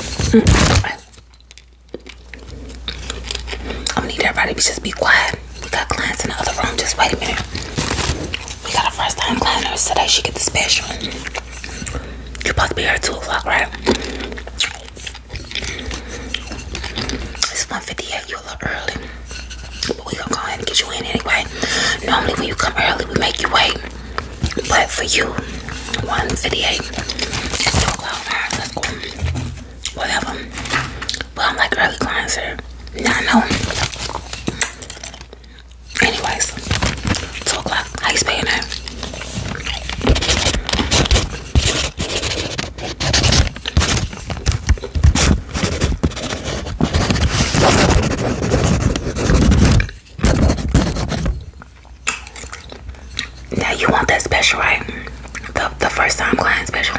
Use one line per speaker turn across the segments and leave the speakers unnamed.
I'm gonna need everybody to just be quiet. We got clients in the other room. Just wait a minute. We got a first time client nurse today. She get the special. You're about to be here at 2 o'clock, right? It's 158. You're a little early. But we gonna go ahead and get you in anyway. Normally when you come early, we make you wait. But for you, 158 is too close. Whatever. But I'm like early clients here. Now I know. Anyways, 2 o'clock. How you spending now you want that special, right? The the first time client special.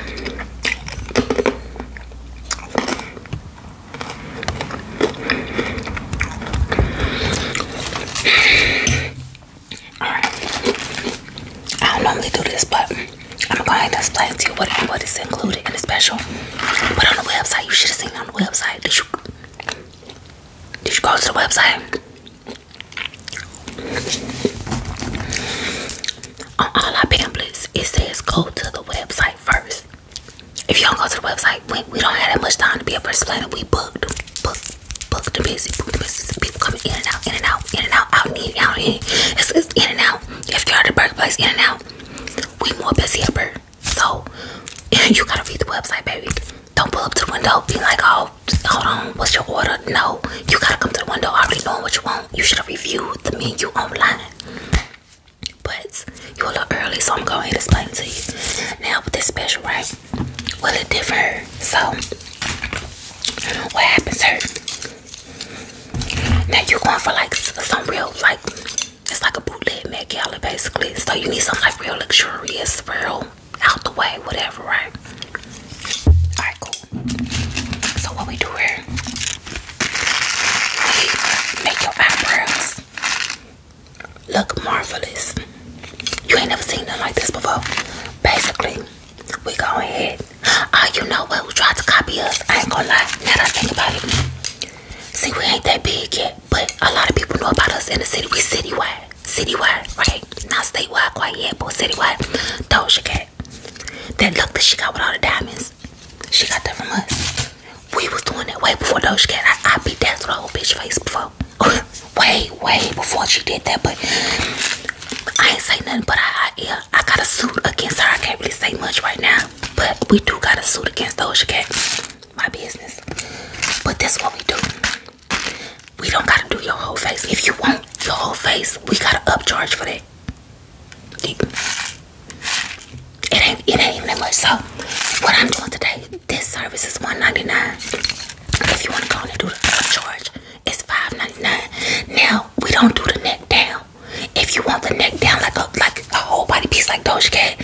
Alright. I don't normally do this, but I'm going to explain to you what what is included in the special. But on the website, you should have seen on the website. Did you did you go to the website? Uh, on all our pamphlets, it says go to the website first. If you don't go to the website, we, don't have that much time to be a first explain We booked, booked, booked the busy, booked the busy. People coming in and out, in and out, in and out, out and in, out and in. It's, in and out. If you're at the place, in and out. We more busy upper. So you gotta read the website, baby. Don't pull up to the window Be like, oh, hold on, what's your order? No, you gotta come to the window already knowing what you want. You should have reviewed the menu online. But you're a little early, so I'm going to explain to you. Now, with this special, right? Will it differ. So, what happens here? Now, you're going for like some real, like, it's like a bootleg Met Gala, basically. So, you need something like real luxurious, real out the way, whatever, right? Alright, cool. So what we do here, make your eyebrows look marvelous. You ain't never seen nothing like this before. Basically, we go ahead. Oh, you know what? Who tried to copy us? I ain't gonna lie. Now that I think about it. See, we ain't that big yet, but a lot of people know about us in the city. We citywide citywide, right? Not statewide quite yet, but citywide. Doja Cat. Then look that she got with all the diamonds. She got that from us. We was doing that way before Doja Cat. I, I beat that to the whole bitch face before. way, way before she did that, but I ain't say nothing, but I, I, yeah, I got a suit against her. I can't really say much right now, but we do got a suit against Doja Cat. My business. But that's what we do. We don't gotta do your whole face. If you want your whole face, we gotta upcharge for that. It ain't it ain't even that much. So what I'm doing today, this service is $1.99. If you wanna go and do the upcharge, it's $5.99. Now we don't do the neck down. If you want the neck down like a like a whole body piece like Doja Cat,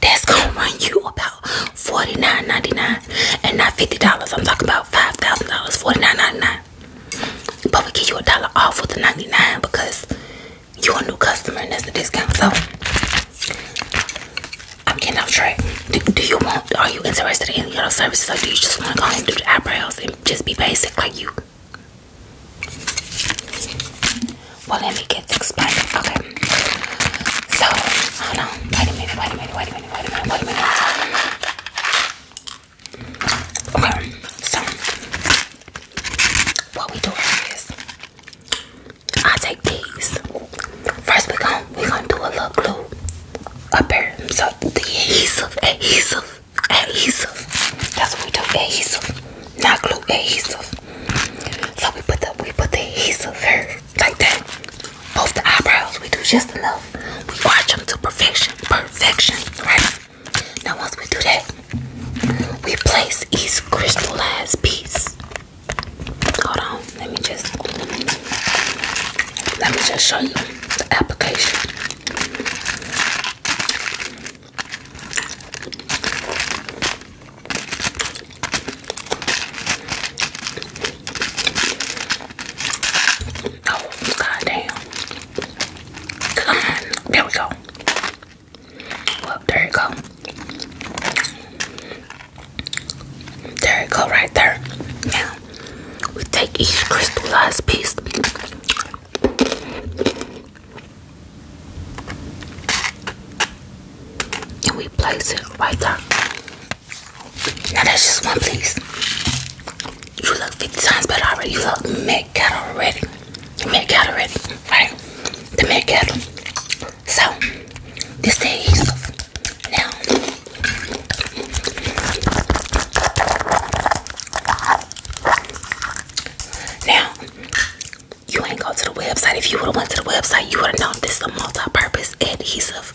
that's gonna run you about Forty nine ninety nine, and not $50. I'm talking about $5,000, $49.99. But we give you a dollar off with the 99 because you're a new customer and that's the discount. So I'm getting off track. Do, you want, are you interested in any other services or do you just want to go and do the eyebrows and just be basic like you? Well, let me get this Okay. So, hold on. Wait a minute, wait a minute, wait a minute. Okay, so what we do is I take these. First we going we gonna do a little glue up here. So the adhesive, adhesive, adhesive. That's what we do, adhesive. Not glue adhesive. So we put the we put the adhesive here like that. Both the eyebrows, we do just enough. We watch them to perfection, perfection, right? Now once we do that, we place each crystallized piece. Hold on, let me just let me just show you the application. Oh, god Come on. There we go. Well, there it go. There it go right there. Now we take each crystallized piece. And we place it right there. Now that's just one piece. You look 50 times better already. You look mad cattle already. Mad cattle already, right? The mad cattle. So, this day is now. Now, you ain't go to the website. If you would have went to the website, you would have known this is a multi-purpose adhesive.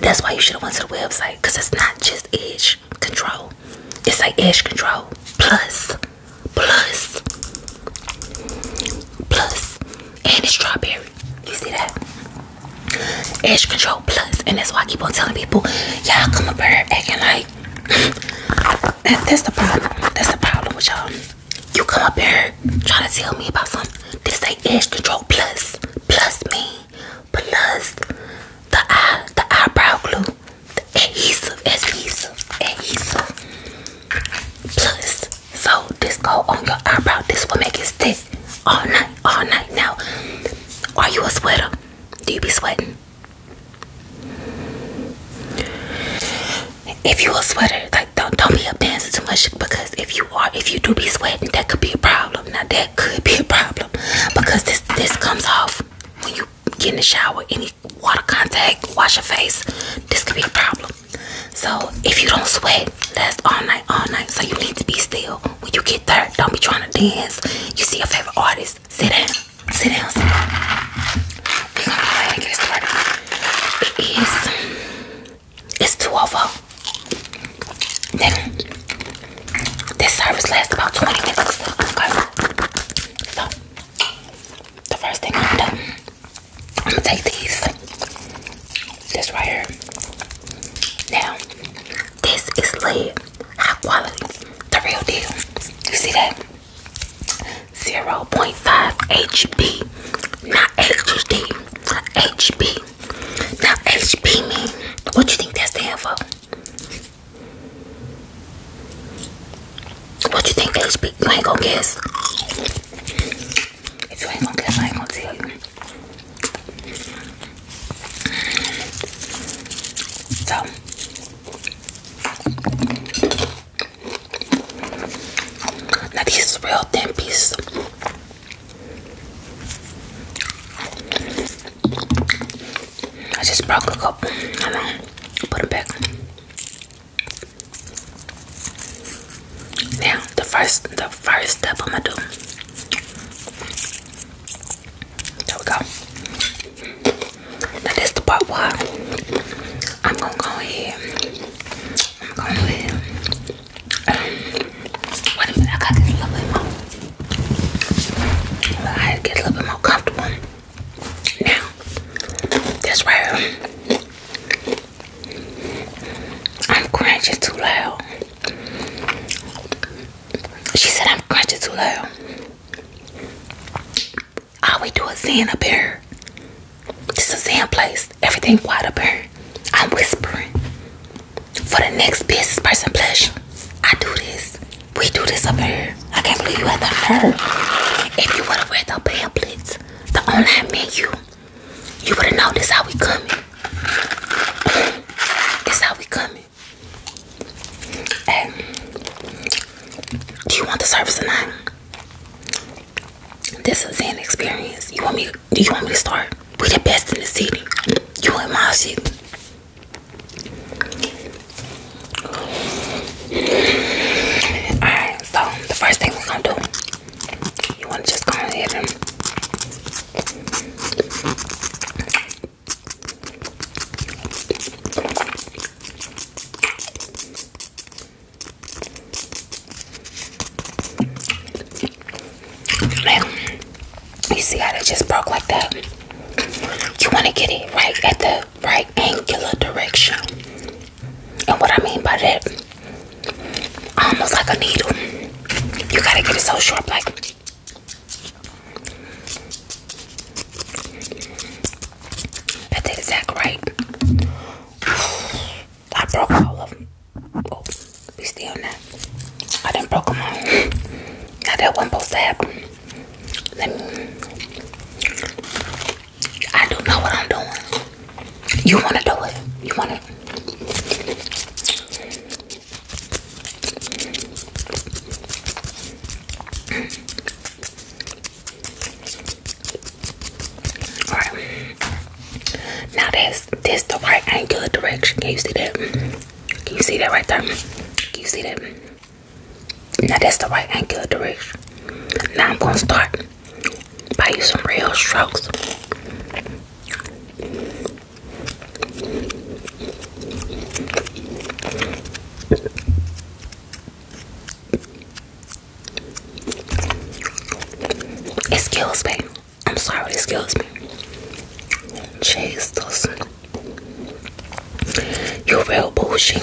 That's why you should have went to the website because it's not just edge control. It's like edge control plus, plus, plus, and it's strawberry. You see that? Edge control plus, and that's why I keep on telling people, y'all come up here acting like that's the problem. That's the problem with y'all. You come up here trying to tell me about something. This ain't edge control plus. me. Plus the eye, the eyebrow glue. The adhesive, adhesive, adhesive. Plus. So this go on your eyebrow. This will make it stick all night, all night. Now, are you a sweater? Do you be sweating? if you a sweater, like don't don't be up dancing too much because if you are, if you do be sweating, that could be a problem. Now that could be a problem because this this comes off when you get in the shower. Any water contact, wash your face. This could be a problem. So if you don't sweat, that's all night, all night. So you need to be still. When you get there, don't be trying to dance. You see your favorite artist, sit down, sit down, sit down. It's two of this service lasts about 20 minutes. the first thing I'm gonna do, I'm gonna take these. This right here. Now, this is lead. High quality. The real deal. You see that? 0.5 HB not HD. HB. Now HB mean. What you think that stand for? What you think HB? You ain't gonna guess. If you ain't gonna guess, I ain't gonna tell you. So now this is real thin pieces. I just broke a couple. Hold on, put it back. Now the first, the first step I'm gonna do. There we go. Now this the part where I'm gonna go ahead. I'm gonna go ahead Wait a minute, I gotta a little bit more. I get a little bit more comfortable. Now, this right I'm crunching too loud. She said I'm crunching too loud. All we do is Zen up here. This is a Zen place everything quiet up here. I'm whispering. For the next business person pleasure. I do this. We do this over here. I can't believe you had the nerve. If you would have read the pamphlets, the online menu, you would have noticed how we coming. It's how we coming. Hey, do you want the service tonight? This is an experience. You want me do you want me to start? We the best in the city. You in my shit. Alright, so the first thing we're gonna do, you wanna just go ahead and you see how they just broke like that? You want to get it right at the right angular direction. And what I mean by that, almost like a needle. You got to get it so sharp, like. that's the exact right. I broke all of them. Oh, we still now. I didn't broke them all. Now that wasn't supposed to happen. Let me. I do know what I'm doing. You want to do it. You want to. All right. Now this this the right angle direction. Can you see that? Can you see that right there? Can you see that? Now that's the right angle direction. Now I'm gonna start by using real strokes. It kills me. I'm sorry, excuse me. Chase Jesus. You're real bullshit.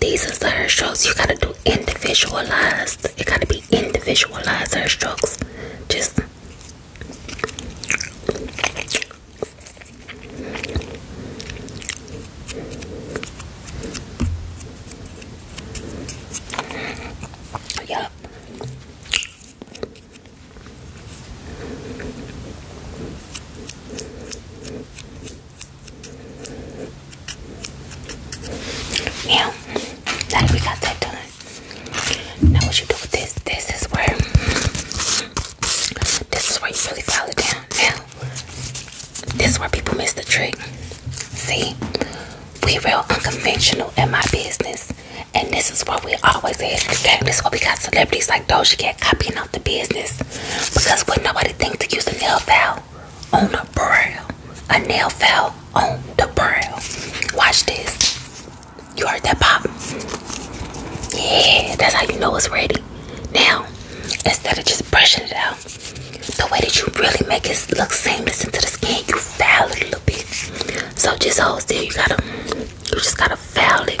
These are the strokes. You gotta do individualized. You gotta be individualized hair strokes. Just Yup. Yeah, that we got that done. Now what you do with this, this is where this is where you really file it down. Now this is where people miss the trick. See, we real unconventional in my business. And this is where we always hit the game. This is where we got celebrities like Doja Cat copying off the business. Because would nobody thinks to use a nail file on the brow? A nail file on the brow. Watch this. You heard that pop? Yeah, that's how you know it's ready. Now, instead of just brushing it out, the way that you really make it look seamless into the skin, you foul it a little bit. So just hold still. You gotta, you just gotta foul it.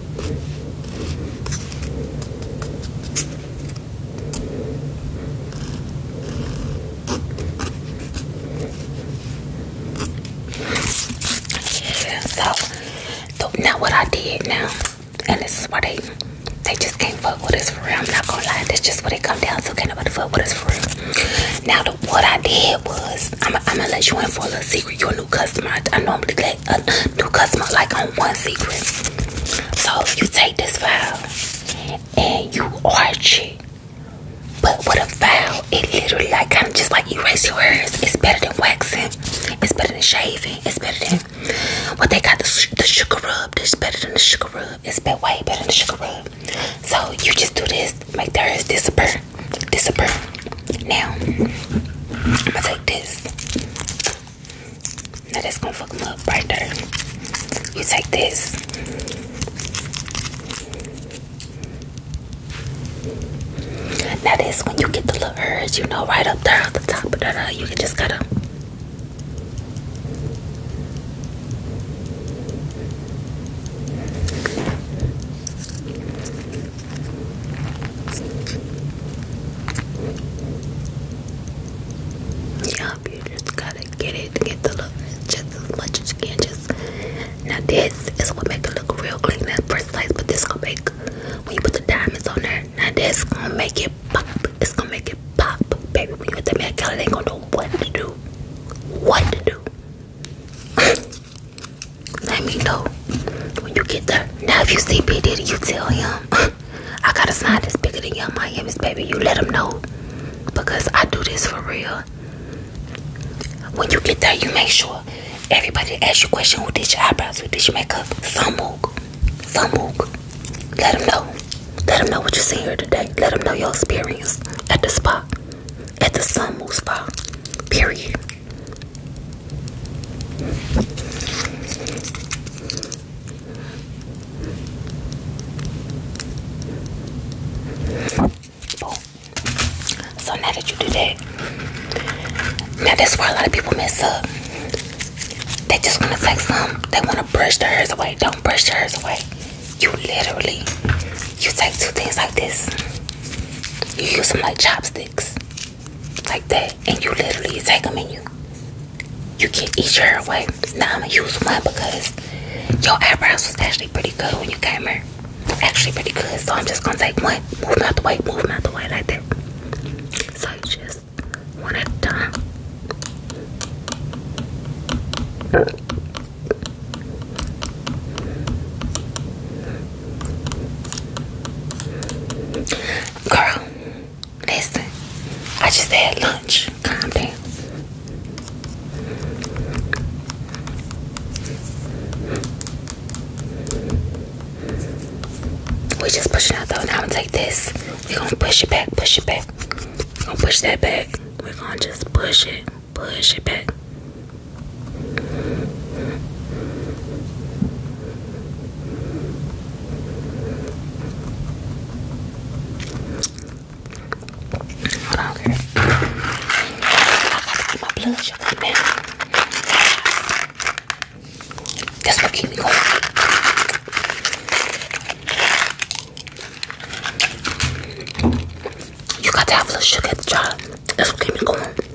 So, now what I did now, and this is what they they just came not fuck with us for real. I'm not gonna lie, this just what it come down So, Can't nobody fuck with us for Now, the, what I did was. I'm, I'm gonna let you in for a little secret. You're a new customer. I normally let a new customer like on one secret. So you take this file and you arch it. But with a file, it literally like kind of just like erase your hairs. It's better than waxing. It's better than shaving. It's better than what well, they got the, sugar rub. This better than the sugar rub. It's better, way better than the sugar rub. So you just do this, make the hairs disappear disappear. Now, I'm gonna take this. Now that's gonna fuck them up right there. You take this. Now this when you get the little urge, you know, right up there at the top of that, uh, you can just cut them. Yup, you just gotta get it, get the look just as much as you can. Just now, this is what make it look real clean that first place, but this gonna make when you put the diamonds on there. Now this gonna make it pop. It's gonna make it pop, baby. When you get that man color, they ain't gonna know what to do, what to do. Let me know when you get there. Now, if you see P. you tell him, I got a sign that's bigger than Young Miami's, baby. You let him know because I do this for real. When you get there, you make sure everybody asks you question who did your eyebrows, who did your makeup, some mook, some mook. Let them know. Let them know what you see here today. Let them know your experience at the spa, at the Sun Mook Spa, period. So now that you do that, now that's where a lot of people mess up. They just want to take some, they want to brush their hairs away. Don't brush your hairs away. You literally, you take two things like this. You use them like chopsticks like that, and you literally take them and you you can eat your hair away. Now I'm gonna use one because your eyebrows was actually pretty good when you came here. Actually pretty good, so I'm just gonna take one. Move out the way, move out the way like that. So you just one at a time. Girl, listen. I just had lunch. Calm down. We just pushing out though. Now i take this. we gonna push it back, push it back. We're gonna push that back. We're gonna just push it, push it back. I don't care. I got my blood sugar down. That's what keep me going. You got to have a sugar at the job. That's what keep me going.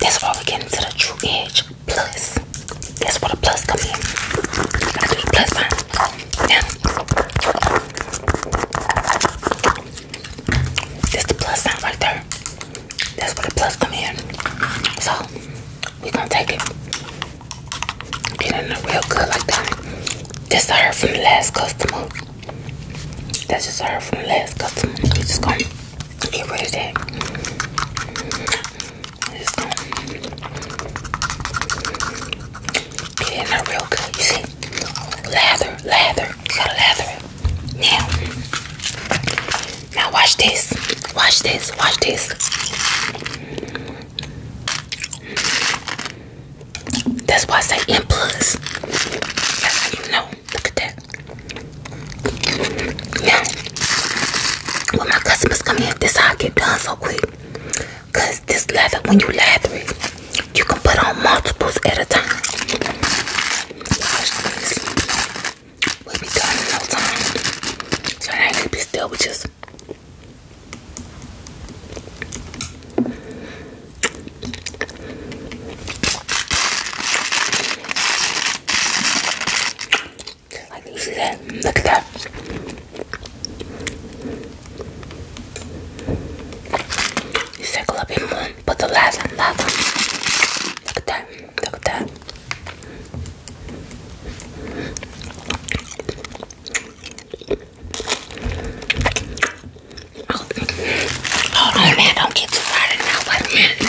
That's why we get into the true edge plus. That's where the plus come in. I do the plus sign. Now, this the plus sign right there. That's where the plus come in. So we're gonna take it. Get in there real good like that. This I heard from the last customer. That's just I heard from the last customer. We just gonna Get rid of that. get in real good. You see? Lather, lather. gotta lather it. Now, now watch this. Watch this. Watch this. That's why I say in plus. you know. Look at that. Yeah, when my customers come in, this I get done so quick. this leather, when you lather it, you can put on multiples at a time. we be done in no time. So I ain't be still with just I can see that? Look at that. You circle up in one, but the last one, last Look at that. Look at that. Hold oh, man. Don't get too now. Wait a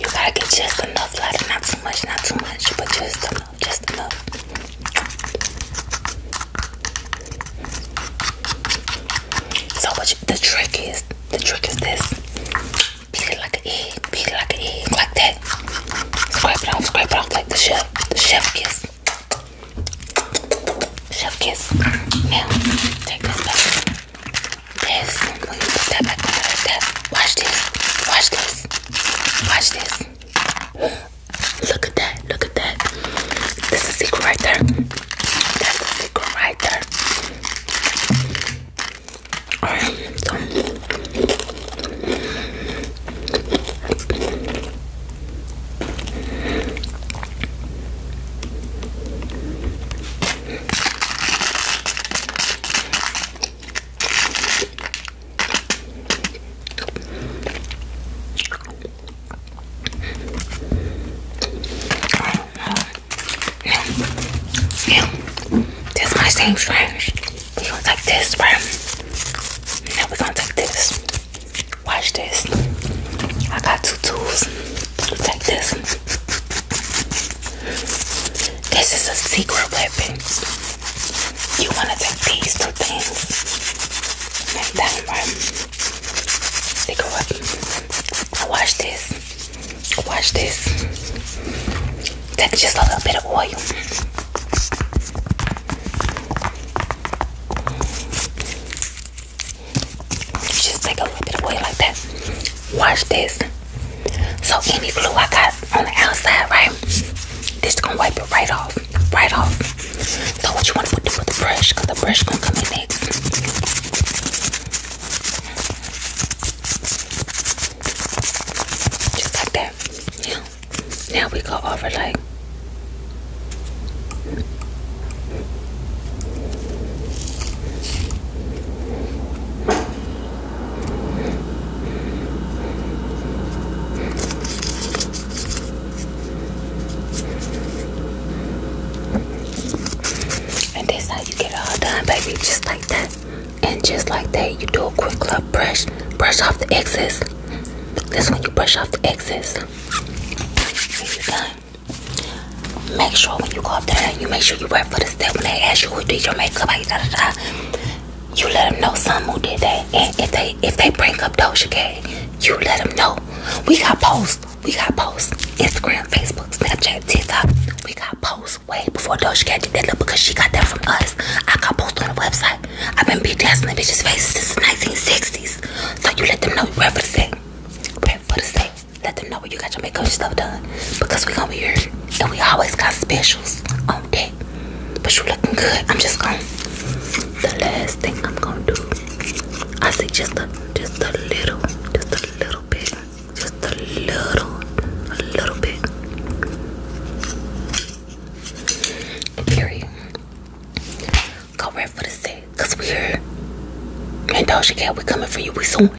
You gotta get just enough ladder, not too much, not too much, but just enough, just enough. So what the trick is, the trick is this. Beat it like an egg, beat it like an egg, like that. Scrape it off, scrape it off like the chef, the chef kiss. Chef kiss. Now, take this back watch this, watch this, watch this. Look at that, look at that. This is a secret right there. That's a secret right there. Alright, yeah. This might seem strange. We're gonna take this, right? we gonna take this. Watch this. I got two tools. Take this. This is a secret weapon. You want to take these two things. that right. They go up. Watch this. Watch this. Take just a little bit of oil. Just take a little bit of oil like that. Watch this. So any glue I got on the outside, right? This is gonna wipe it right off, right off. So what you want to do with the brush? the brush gonna come in next. Just like that. Yeah. Now we go over like. And that's how you get all done, baby. Just like that. And just like that, you do a quick little brush. Brush off the excess. That's when you brush off the excess. you're done make sure when you go up there, you make sure you wear for the step. When they ask you who did your makeup, like, you let them know some who did that. And if they if they bring up Doja Cat, you let them know. We got posts. We got posts. Instagram, Facebook, Snapchat, TikTok. We got posts way before Doja Cat did that look because she got that from us. I got posts on the website. I've been bedazzling bitches' faces since the 1960s. So you let them know you ready for the set. Prep for the set let them know when you got your makeup stuff done because we gonna be here and we always got specials on deck. But you looking good. I'm just gonna. The last thing I'm gonna do, I say just a, just a little, just a little bit, just a little, a little bit. Period. Go right for the set, cause we here. And you Cat, we coming for you. We soon.